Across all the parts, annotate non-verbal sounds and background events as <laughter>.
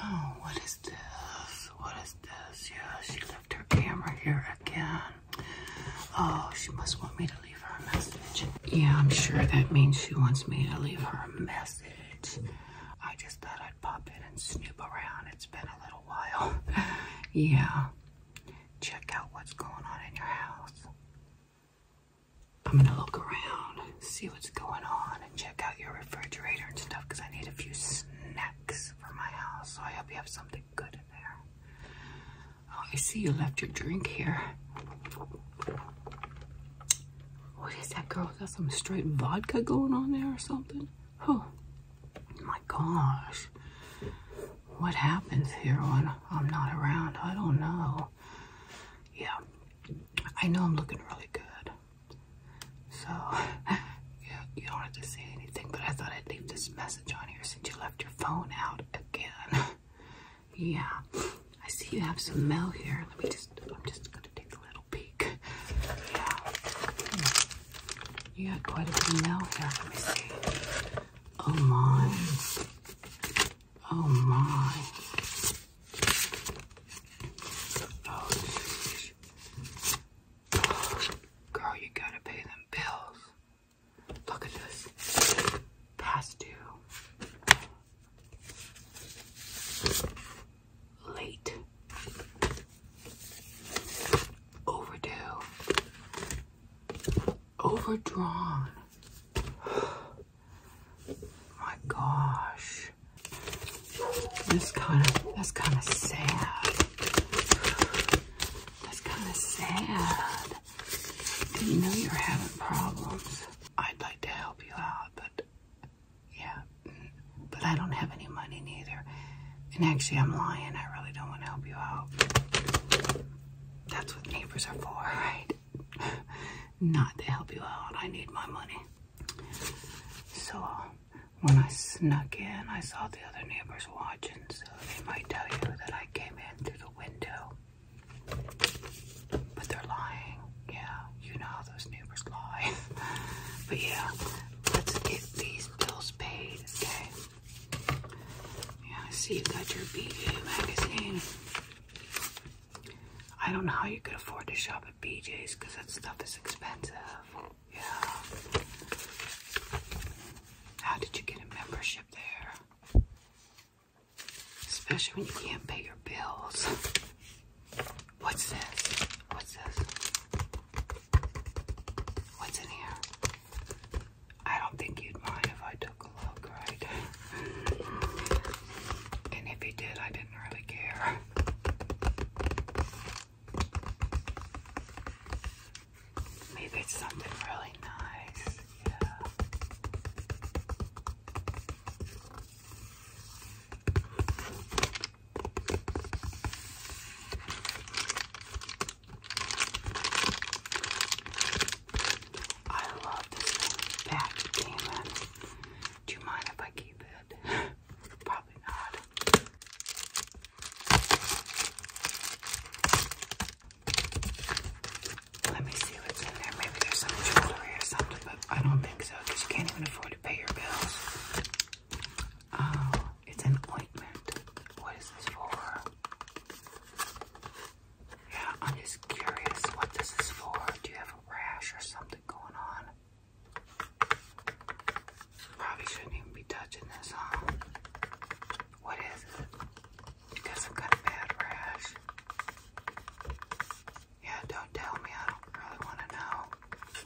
Oh, what is this? What is this? Yeah, she left her camera here again. Oh, she must want me to leave her a message. Yeah, I'm sure that means she wants me to leave her a message. I just thought I'd pop in and snoop around. It's been a little while. <laughs> yeah, check out what's going on in your house. I'm gonna look around, see what's going on, and check out your refrigerator and stuff because I need a few snacks for my house. So I hope you have something good in there. Oh, I see you left your drink here. What is that girl? Got some straight vodka going on there or something? Oh, my gosh what happens here when I'm not around. I don't know. Yeah, I know I'm looking really good. So, <laughs> yeah, you don't have to say anything, but I thought I'd leave this message on here since you left your phone out again. <laughs> yeah, I see you have some mail here. Let me just, I'm just gonna take a little peek. Yeah. Hmm. You got quite a bit of mail here. Let me see. Oh my. Oh my. Oh, geez. Girl, you gotta pay them bills. Look at this. Past due. Late. Overdue. Overdrawn. <gasps> My gosh. This kind of that's kind of sad. That's kind of sad. Didn't know you were having problems. I'd like to help you out, but yeah, but I don't have any money neither. And actually, I'm lying. I really don't want to help you out. That's what neighbors are for, right? <laughs> Not to help you out. I need my money. So, when I snuck in, I saw the other neighbors watching, so they might tell you that I came in through the window. But they're lying. Yeah, you know how those neighbors lie. <laughs> but yeah, let's get these bills paid, okay? Yeah, I see you got your BJ magazine. I don't know how you could afford to shop at BJ's because that stuff is expensive. Yeah. How did you get a membership there? Especially when you can't pay your bills. What's this? What's this? What's in here? I don't think you'd mind if I took a look, right? and if you did, I didn't really care. Maybe something really nice. Yeah. I love this thing Do you mind if I keep it? <laughs> Probably not. Let me see what's in there. Maybe there's some jewelry or something, but I don't think so because you can't even afford to pay your bills. Oh, it's an ointment. What is this for? Yeah, I'm just curious what this is for. Do you have a rash or something going on? Probably shouldn't even be touching this, huh? What is it? Because I've got a bad rash. Yeah, don't tell me. I don't really want to know.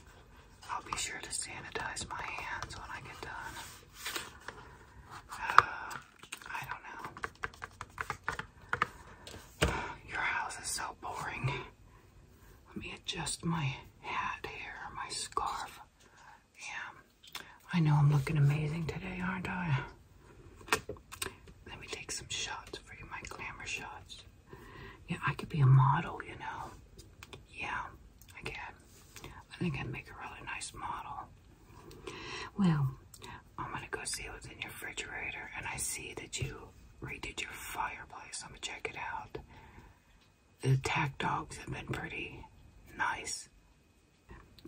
I'll be sure to sanitize my hands when I get done. Uh, I don't know. <sighs> Your house is so boring. Let me adjust my hat here, my scarf. Yeah, I know I'm looking amazing today, aren't I? Let me take some shots for you, my glamour shots. Yeah, I could be a model, you know. Yeah again. I think I'd make a really nice model. Well, I'm gonna go see what's in your refrigerator, and I see that you redid your fireplace. I'm gonna check it out. The attack dogs have been pretty nice.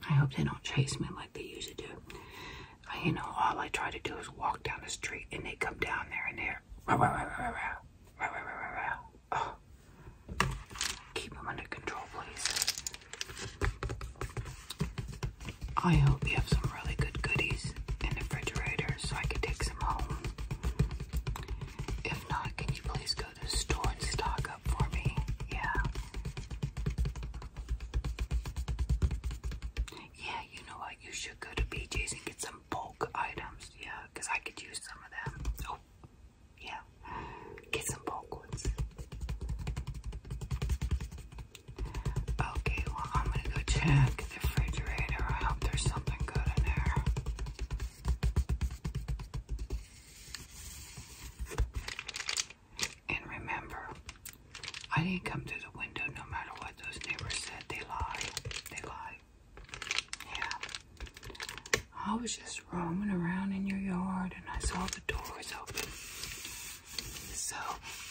I hope they don't chase me like they used to do. I, you know, all I try to do is walk down the street, and they come down there, and they're. Keep them under control, please. I hope you have some really good goodies in the refrigerator so I can take some home. If not, can you please go to the store and stock up for me? Yeah. Yeah, you know what? You should go to BJ's and get some bulk items. Yeah, I could use some of them. Oh, yeah, get some popcorns. Okay, well, I'm gonna go check the refrigerator. I hope there's something good in there. And remember, I didn't come through the window no matter what those neighbors said. They lie. They lie. Yeah. I was just roaming around in your yard and I saw the doors open. So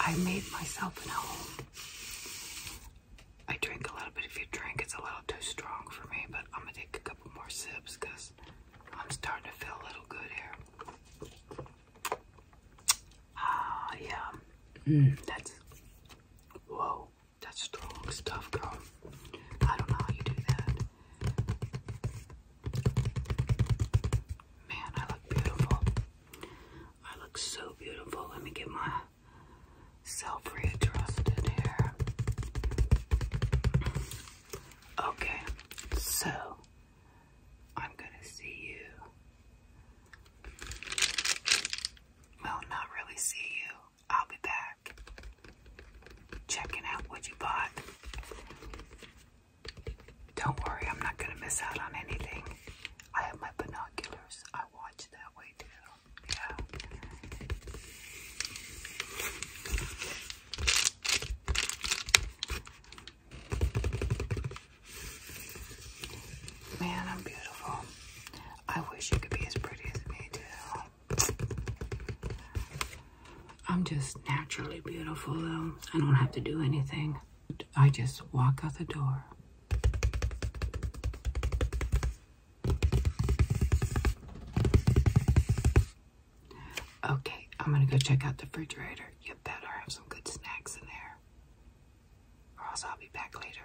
I made myself a home. I drink a little bit. If you drink, it's a little too strong for me, but I'm gonna take a couple more sips because I'm starting to feel a little good here. Ah, yeah. Mm, that's. Whoa. That's strong stuff, girl. I don't know how you do that. Man, I look beautiful. I look so beautiful. Let me get my self readjusted here. Okay, so I'm gonna see you. Well, not really see you. I'll be back checking out what you bought. Don't worry, I'm not gonna miss out on anything. I have my binoculars. I watch that way too. Yeah. Man, I'm beautiful. I wish you could be as pretty as me too. I'm just naturally beautiful, though. I don't have to do anything. I just walk out the door. Okay, I'm gonna go check out the refrigerator. You better have some good snacks in there, or else I'll be back later.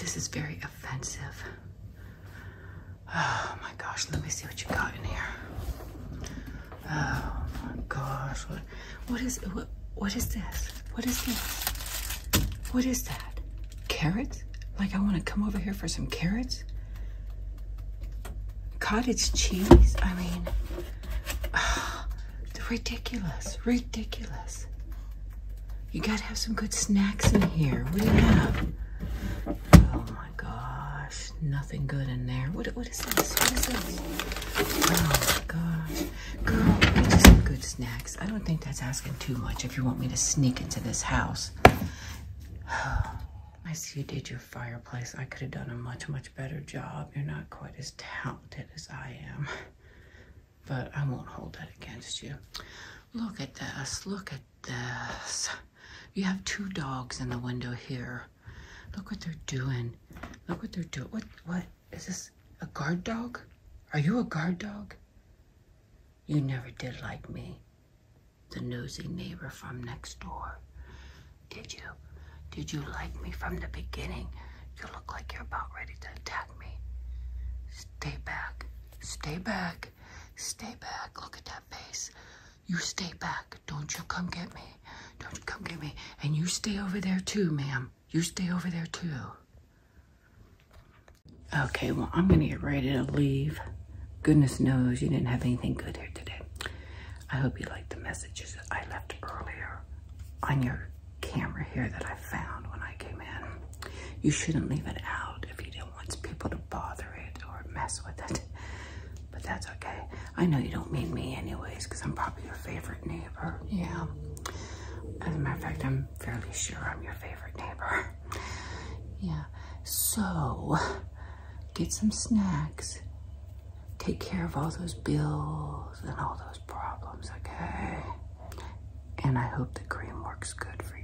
This is very offensive. Oh my gosh, let me see what you got in here. Oh my gosh, what, it? is what, what is this? What is this? What is that? Carrots? Like I want to come over here for some carrots? Cottage cheese? I mean, oh, <sighs> ridiculous, ridiculous. You gotta have some good snacks in here. What do you have? Oh my gosh, nothing good in there. What, what is this? What is this? Oh my gosh. Girl, get you some good snacks. I don't think that's asking too much if you want me to sneak into this house. <sighs> I see you did your fireplace. I could have done a much, much better job. You're not quite as talented as I am. But I won't hold that against you. Look at this. Look at this. You have two dogs in the window here. Look what they're doing. Look what they're doing. What? What? Is this a guard dog? Are you a guard dog? You never did like me, the nosy neighbor from next door. Did you? Did you like me from the beginning? You look like you're about ready to attack me. Stay back. Stay back. Stay back. Look at that face. You stay back. Don't you come get me. Don't you come get me. And you stay over there too, ma'am. You stay over there too. Okay, well, I'm going to get ready to leave. Goodness knows you didn't have anything good here today. I hope you liked the messages that I left earlier on your camera here that I found when I came in. You shouldn't leave it out if you don't want people to bother it or mess with it. But that's okay. I know you don't mean me anyways because I'm probably your favorite neighbor. Yeah. As a matter of fact, I'm fairly sure I'm your favorite neighbor. <laughs> Yeah. So get some snacks. Take care of all those bills and all those problems, okay? And I hope the cream works good for you.